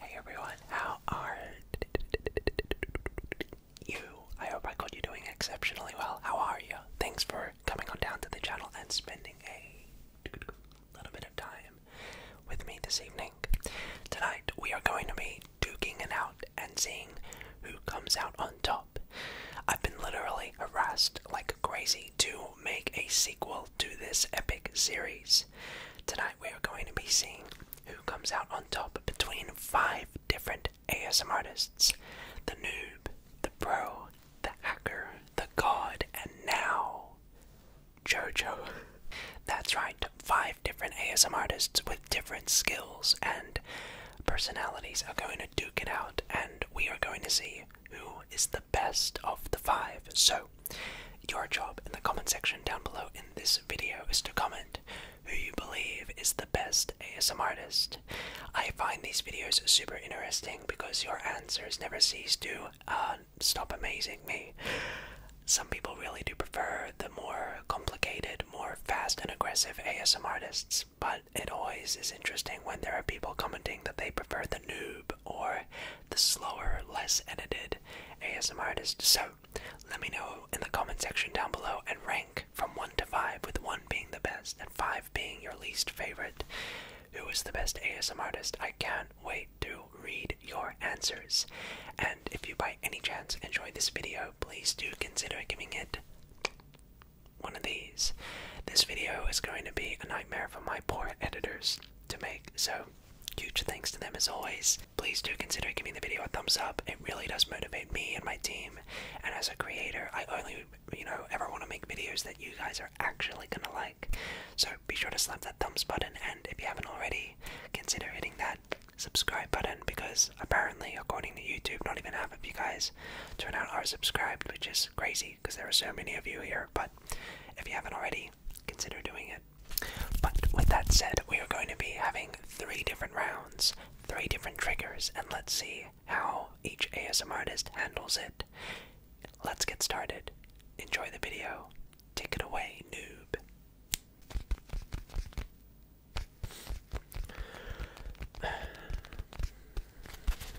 Hey everyone, how are you? I hope I got you doing exceptionally well. How are you? Thanks for coming on down to the channel and spending a little bit of time with me this evening. Tonight we are going to be duking it out and seeing who comes out on top. I've been literally harassed like crazy to make a sequel to this epic series. Tonight we are going to be seeing who comes out on top between five different ASM artists the noob, the pro, the hacker, the god, and now JoJo. That's right, five different ASM artists with different skills and personalities are going to duke it out, and we are going to see who is the best of the five. So, your job in the comment section down below in this video is to comment who you believe is the best ASM artist. I find these videos super interesting because your answers never cease to uh, stop amazing me. Some people really do prefer the more complicated, more fast and aggressive ASM artists, but it always is interesting when there are people commenting that they prefer the noob or the slower, less edited ASMR artist. So let me know in the comment section down below and rank from 1 to 5, with 1 being the best and 5 being your least favorite. Who is the best ASMR artist? I can't wait to read your answers. And if you by any chance enjoyed this video, please do consider giving it one of the this video is going to be a nightmare for my poor editors to make, so huge thanks to them as always. Please do consider giving the video a thumbs up. It really does motivate me and my team, and as a creator, I only, you know, ever want to make videos that you guys are actually gonna like. So be sure to slap that thumbs button, and if you haven't already, consider hitting that subscribe button because apparently, according to YouTube, not even half of you guys turn out are subscribed, which is crazy because there are so many of you here. But if you haven't already, consider doing it. But with that said, we are going to be having three different rounds, three different triggers, and let's see how each ASM artist handles it. Let's get started. Enjoy the video. Take it away, noob.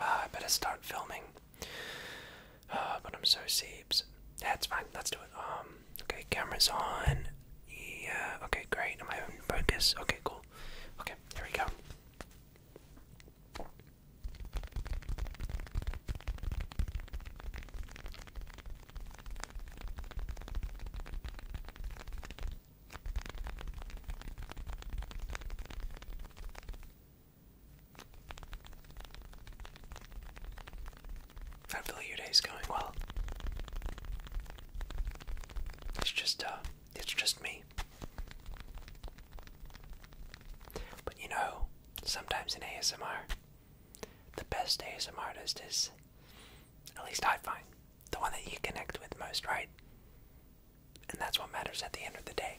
Ah, I better start filming. Ah, but I'm so seebs. That's fine. Let's do it. Um, okay, camera's on. Yeah. Okay, great. Am I in focus? Okay, cool. Okay, here we go. I believe your day's going well. It's just uh it's just me. But you know, sometimes in ASMR the best ASMR artist is at least I find the one that you connect with most, right? And that's what matters at the end of the day.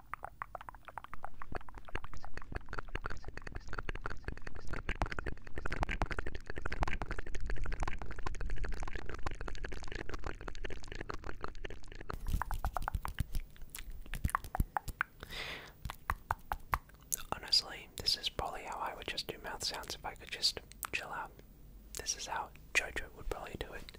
Honestly, this is probably how I would just do mouth sounds if I could just chill out. This is how JoJo would probably do it.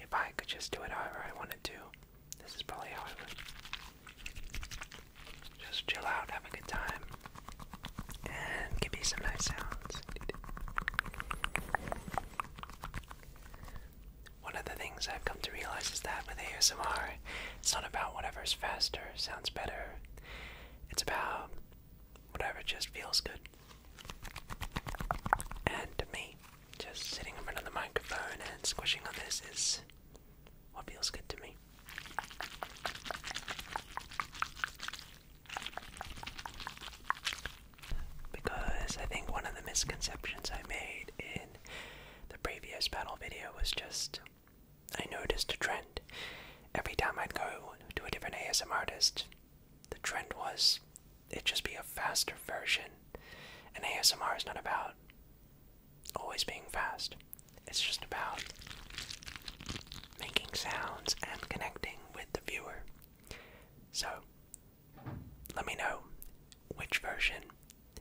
if I could just do it however I wanted to, this is probably how I would. Just chill out, have a good time, and give me some nice sounds. One of the things I've come to realize is that with ASMR, it's not about whatever's faster, sounds better. It's about whatever just feels good. And me, just sitting in front of the microphone and squishing on this is what feels good to me because I think one of the misconceptions I made in the previous panel video was just I noticed a trend. Every time I'd go to a different ASMR artist, the trend was it'd just be a faster version. And ASMR is not about always being fast, it's just about making sounds and connecting with the viewer. So, let me know which version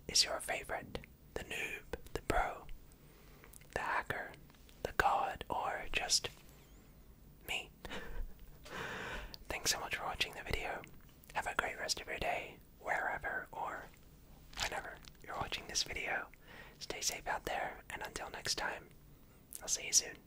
is your favorite the noob, the pro, the hacker, the god, or just me. Thanks so much for watching the video. Have a great rest of your day, wherever or whenever you're watching this video. Stay safe out there, and until next time, I'll see you soon.